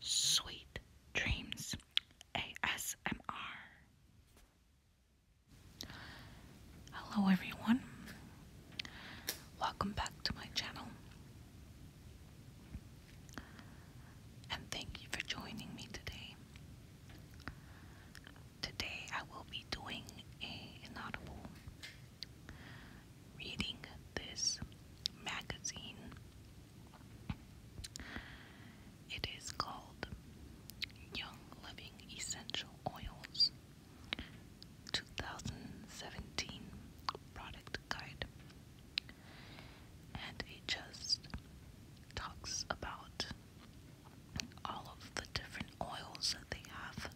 Sweet Dreams ASMR. Hello, everyone. Welcome back to my channel. And thank you for joining me today. Today, I will be doing a inaudible reading this magazine. It is called Young Living Essential Oils 2017 Product Guide. And it just talks about all of the different oils that they have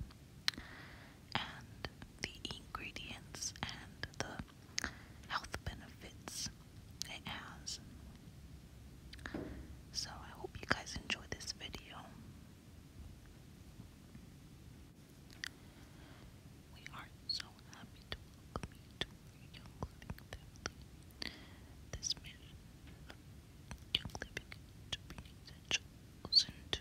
and the ingredients and the health benefits it has. So I hope you guys enjoy this video. We are so happy to welcome you to Young Living This mission of Young Living to be essential. Listen to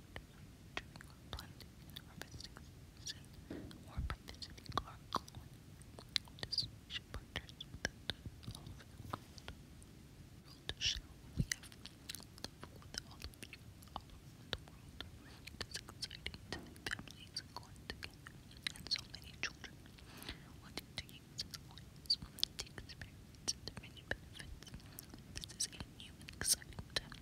during or harvesting season or for visiting or destination partners with all over the world. we have love with all of you all over the world. It is exciting to see families going together and so many children wanting to use its coins to experience the many benefits. This is a new exciting time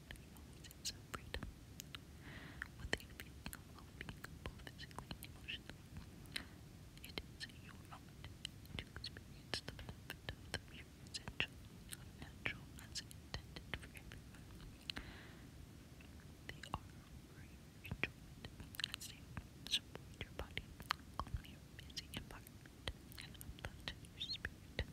and always sense of physically and emotionally. It is your moment experience the benefit of the pure essential natural as intended for everyone. They are for your enjoyment as they support your body, calm your busy environment, and uplift your spirit.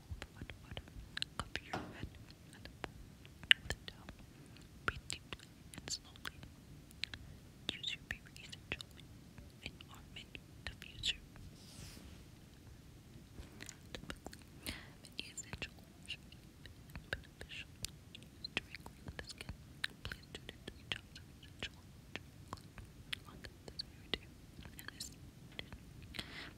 on the your head and the bottom of the and slowly. Use your paper essential and armament diffuser. many essential should be beneficial directly with the skin. Please do the three essential on the this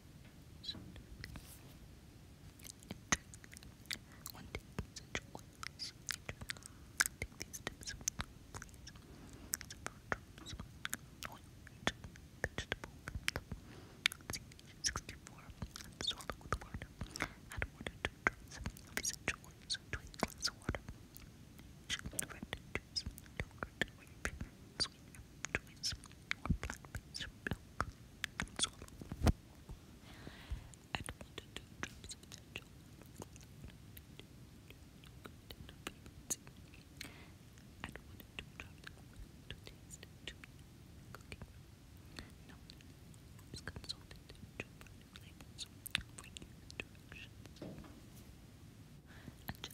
One take essential oils. Take these tips, please. It's oil, vegetable, C64. Swallow to drops of essential oils to a glass of water. Each red juice, choice or blackface milk and swallow. Add one to two drops of essential oil. Add one to two drops of oil to taste to cooking. No is consulted to product labels for new directions. Angelica,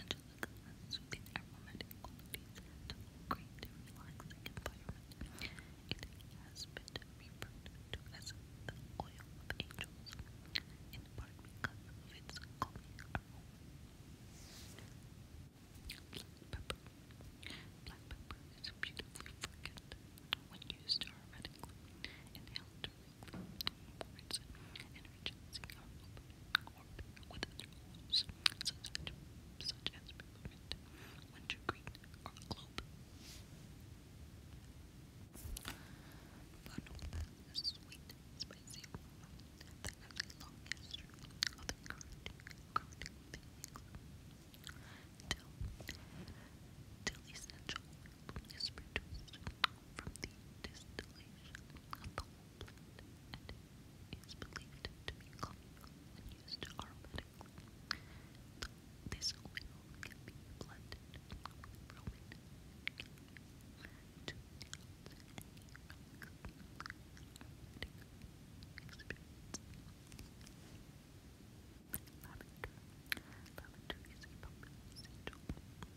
Angelica has soothing aromatic qualities to create a relaxing environment. It has been referred to as the oil angels, in part of its calming Black pepper. Black pepper is beautifully fragrant when used aromatically. Inhaled directly wards and enriches the aroma formed with such as peppermint, wintergreen, or clove. Funnel is a sweet, spicy aroma long history of the current, current Till, till essential oil is produced from the distillation of the plant and believed to be common used aromatically. This oil can be blended to aromatic experience. Lavender. Lavender is a popular scent oil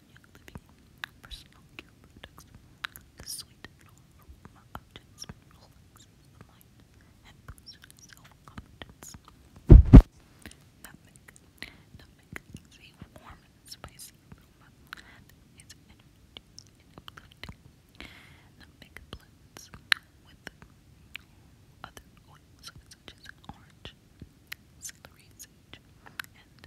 new living, personal care products, the sweet and all aroma objects, relaxes the mind, and boosts is warm and spicy aroma that is blends with other oils such as orange, celery sage, and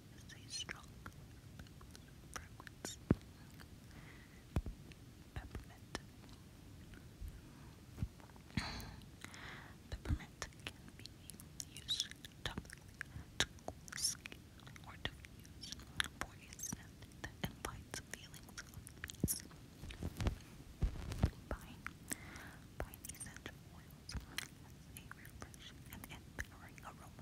is a strong Peppermint. Peppermint can be used topically to cool the invites feelings of peace. Pine. Pine essential oils has a refreshing and empowering aroma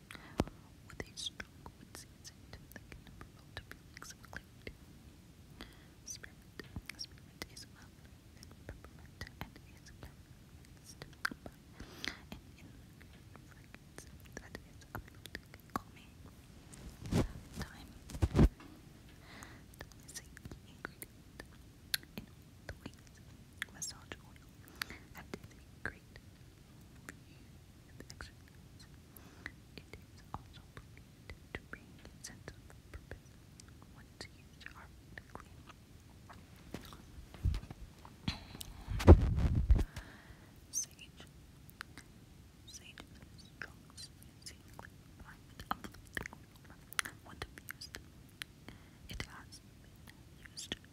With a strong wood season that can promote feelings of clarity. Spearmint. Spearmint is well known and is characterized by an calming. Thyme. Thyme is a the ways massage oil and great these exercises. It is also believed to bring sense of purpose once used harmlessly. Sage. Sage is strong, seemingly private of the used, it has been used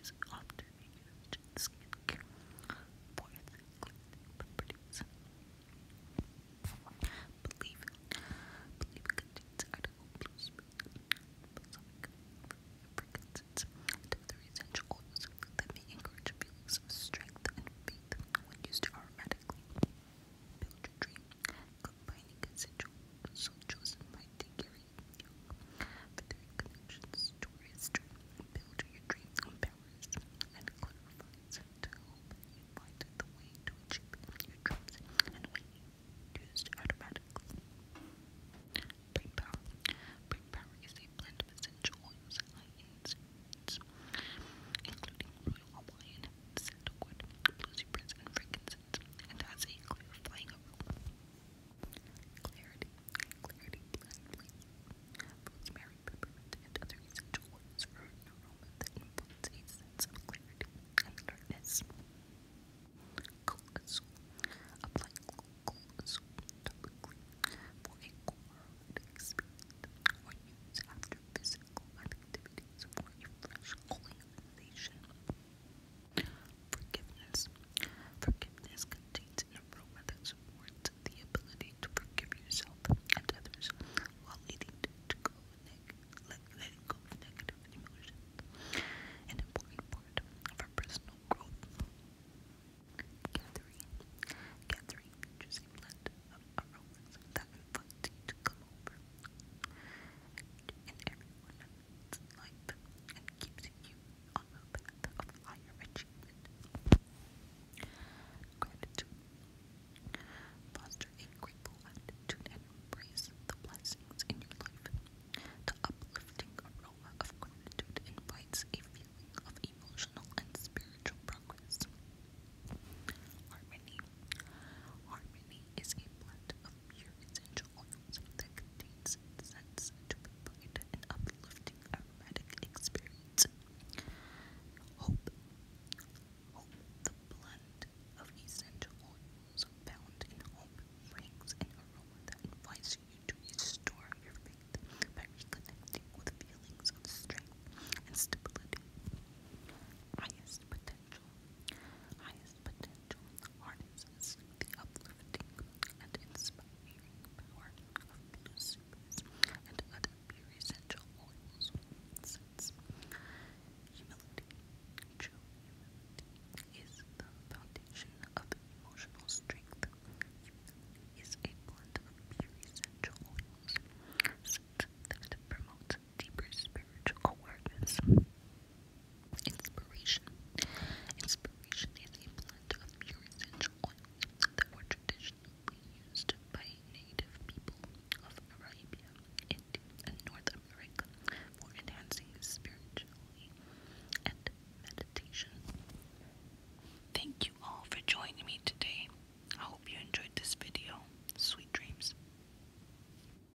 is often used its cleansing Believe it. Believe it contains essential oils that may encourage feelings of strength and faith when used aromatically. Build your dream. Combining essential oils chosen by for three connections, stories to build your dreams and powers and clarifies to help you find the way to achieve your dreams and when used automatically. Brain power. is a blend of essential oils including royal Hawaiian, sandalwood, blueberries, and frankincense, and has a clarifying aroma. Clarity, clarity, blindly. Rosemary, peppermint, and other essential oils are an aroma that influence a sense of clarity and alertness. Colasol. Apply colasol topically for a cold experience or use after physical activities for a fresh cooling sensation. Cold Forgiveness. Forgiveness contains an aroma that supports the ability to forgive yourself and others while leading to, to let, go of negative emotions. An important part personal growth. Gathering. Gathering features a blend of aromas that invite you to come over enhances and keeps you on the path of higher achievement. Gratitude. Foster a grateful attitude and embrace the blessings in your life. The uplifting aroma of gratitude invites a feeling of emotional and spiritual progress. Harmony. Harmony is a blend of essential oils that contains scents to provide an uplifting aromatic experience. Hope. Hope, the blend of essential oils found in hope, brings an aroma that invites you to restore your faith by with feelings of strength and stability. Highest potential. Highest potential harnesses the uplifting and inspiring power of blue supers and other pure essential oils. humility, is the foundation of emotional strength, humility a blend of pure essential oils. that promotes deeper spiritual awareness. Inspiration. Inspiration is a blend of pure essential that were traditionally used by native people of Arabia, India, and North America for enhancing spirituality and meditation. Thank you all for joining me today. I hope you enjoyed this video. Sweet dreams.